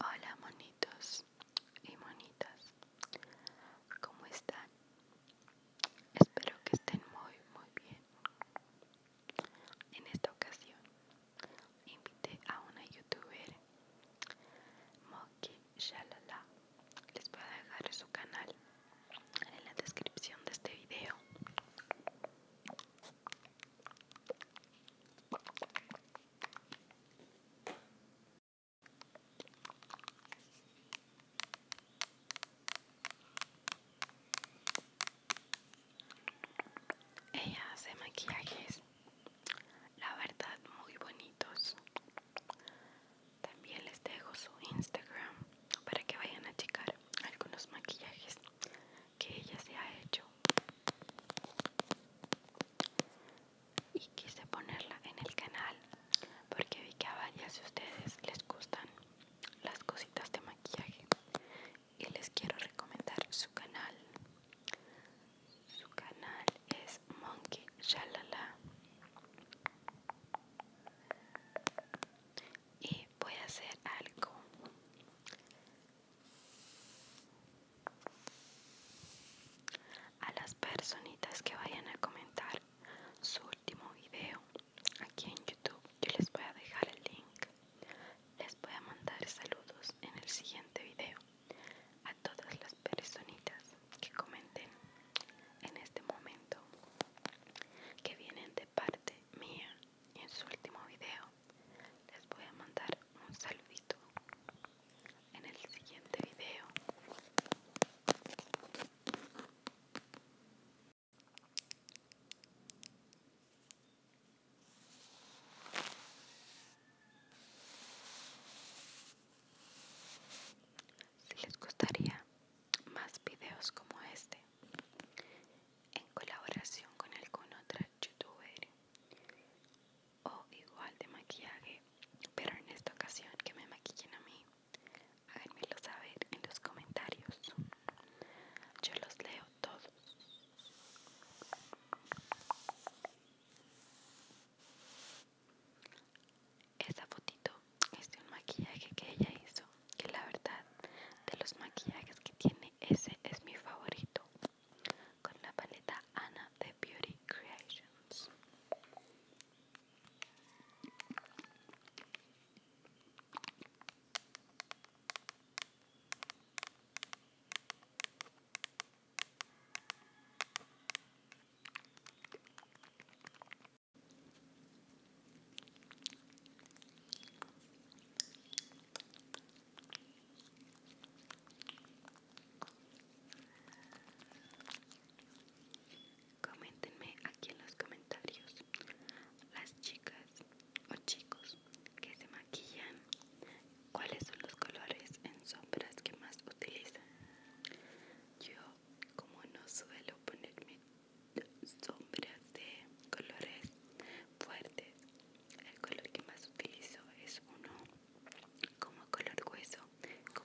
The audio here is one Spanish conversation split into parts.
Hola monitos y monitas, ¿cómo están? Espero que estén muy muy bien. En esta ocasión invité a una youtuber, Moki Shalala. Les voy a dejar su canal en la descripción de este video. Ella hace maquillajes, la verdad, muy bonitos. También les dejo su Instagram para que vayan a checar algunos maquillajes que ella se ha hecho y quise ponerla en el canal porque vi que a varias de ustedes les gustan las cositas de maquillaje y les quiero recomendar su canal su canal es Monkey Shalala y voy a hacer algo a las personitas que vayan a comentar su último video aquí en youtube yo les voy a dejar el link les voy a mandar saludos en el siguiente video a todas las personitas que comenten en este momento que vienen de parte mía en su último video les voy a mandar un saludito en el siguiente video si les gustaría más videos como este en colaboración con algún otro youtuber o igual de maquillaje, pero en esta ocasión que me maquillen a mí, háganmelo saber en los comentarios. Yo los leo todos. Esa fotito es de un maquillaje que ella hizo, que la verdad de los maquillajes que tiene ese es mi favorito con la paleta Anna de Beauty Creations. Coméntenme aquí en los comentarios las chicas o chicos que se maquillan, cuáles son los colores en sombras que más utilizan. Yo como no suelo ponerme sombras de colores fuertes el color que más utilizo es uno como color hueso con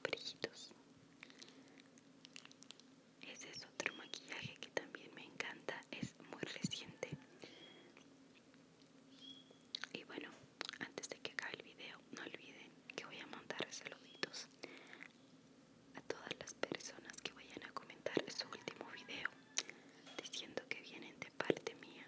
Ese es otro maquillaje que también me encanta, es muy reciente. Y bueno, antes de que acabe el video, no olviden que voy a mandar saluditos a todas las personas que vayan a comentar su último video diciendo que vienen de parte mía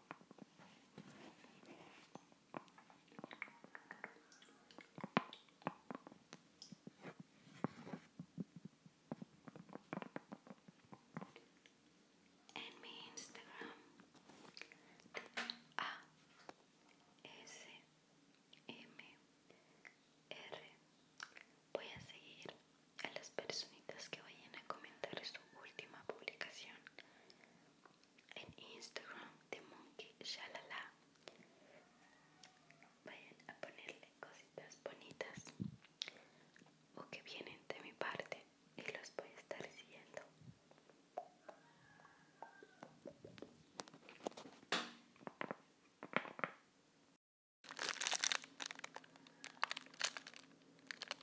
En mi Instagram A S M R voy a seguir a las personitas que vayan a comentar su última publicación en Instagram de Monkey Shalala. Vayan a ponerle cositas bonitas o que vienen de mi parte y los voy a estar siguiendo.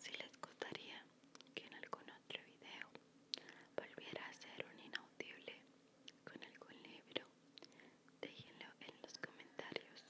Si les gustaría que en algún otro video volviera a hacer un inaudible con algún libro, déjenlo en los comentarios.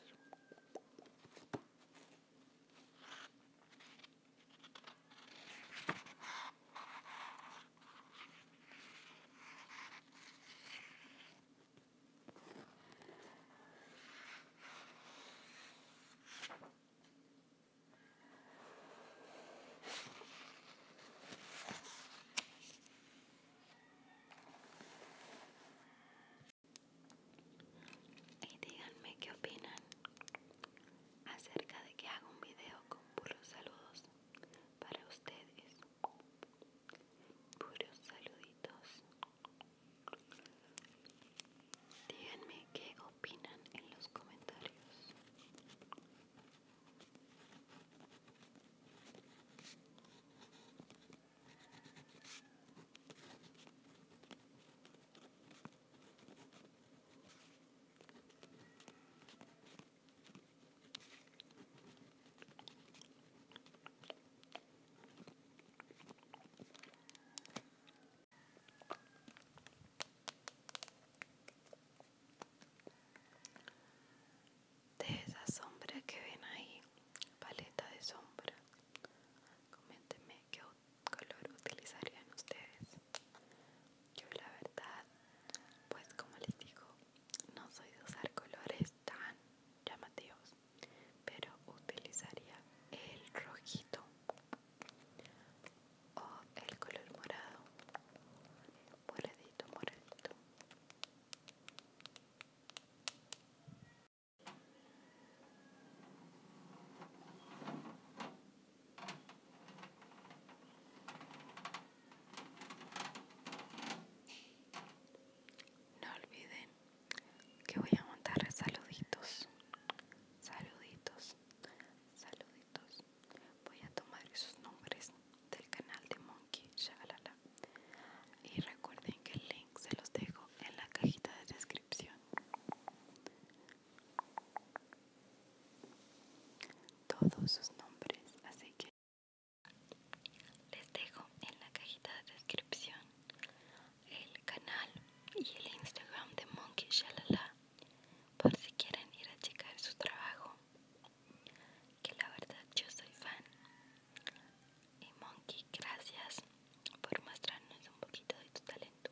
Y díganme qué opinan acerca de que haga un video con puros saludos para ustedes. Puros saluditos. Díganme qué opinan en los comentarios de esa sombra que ven ahí paleta de sombra coméntenme qué color utilizarían ustedes yo la verdad pues como les digo no soy de usar colores tan llamativos, pero utilizaría el rojito o el color morado, moradito, moradito. No olviden que voy a montar saluditos, saluditos, saluditos. Voy a tomar esos nombres del canal de Monkey Y recuerden que el link se los dejo en la cajita de descripción. Todos sus nombres, así que les dejo en la cajita de descripción el canal y el Instagram de Monkey Shalala por si quieren ir a checar su trabajo. Que la verdad yo soy fan. Y Monkey, gracias por mostrarnos un poquito de tu talento.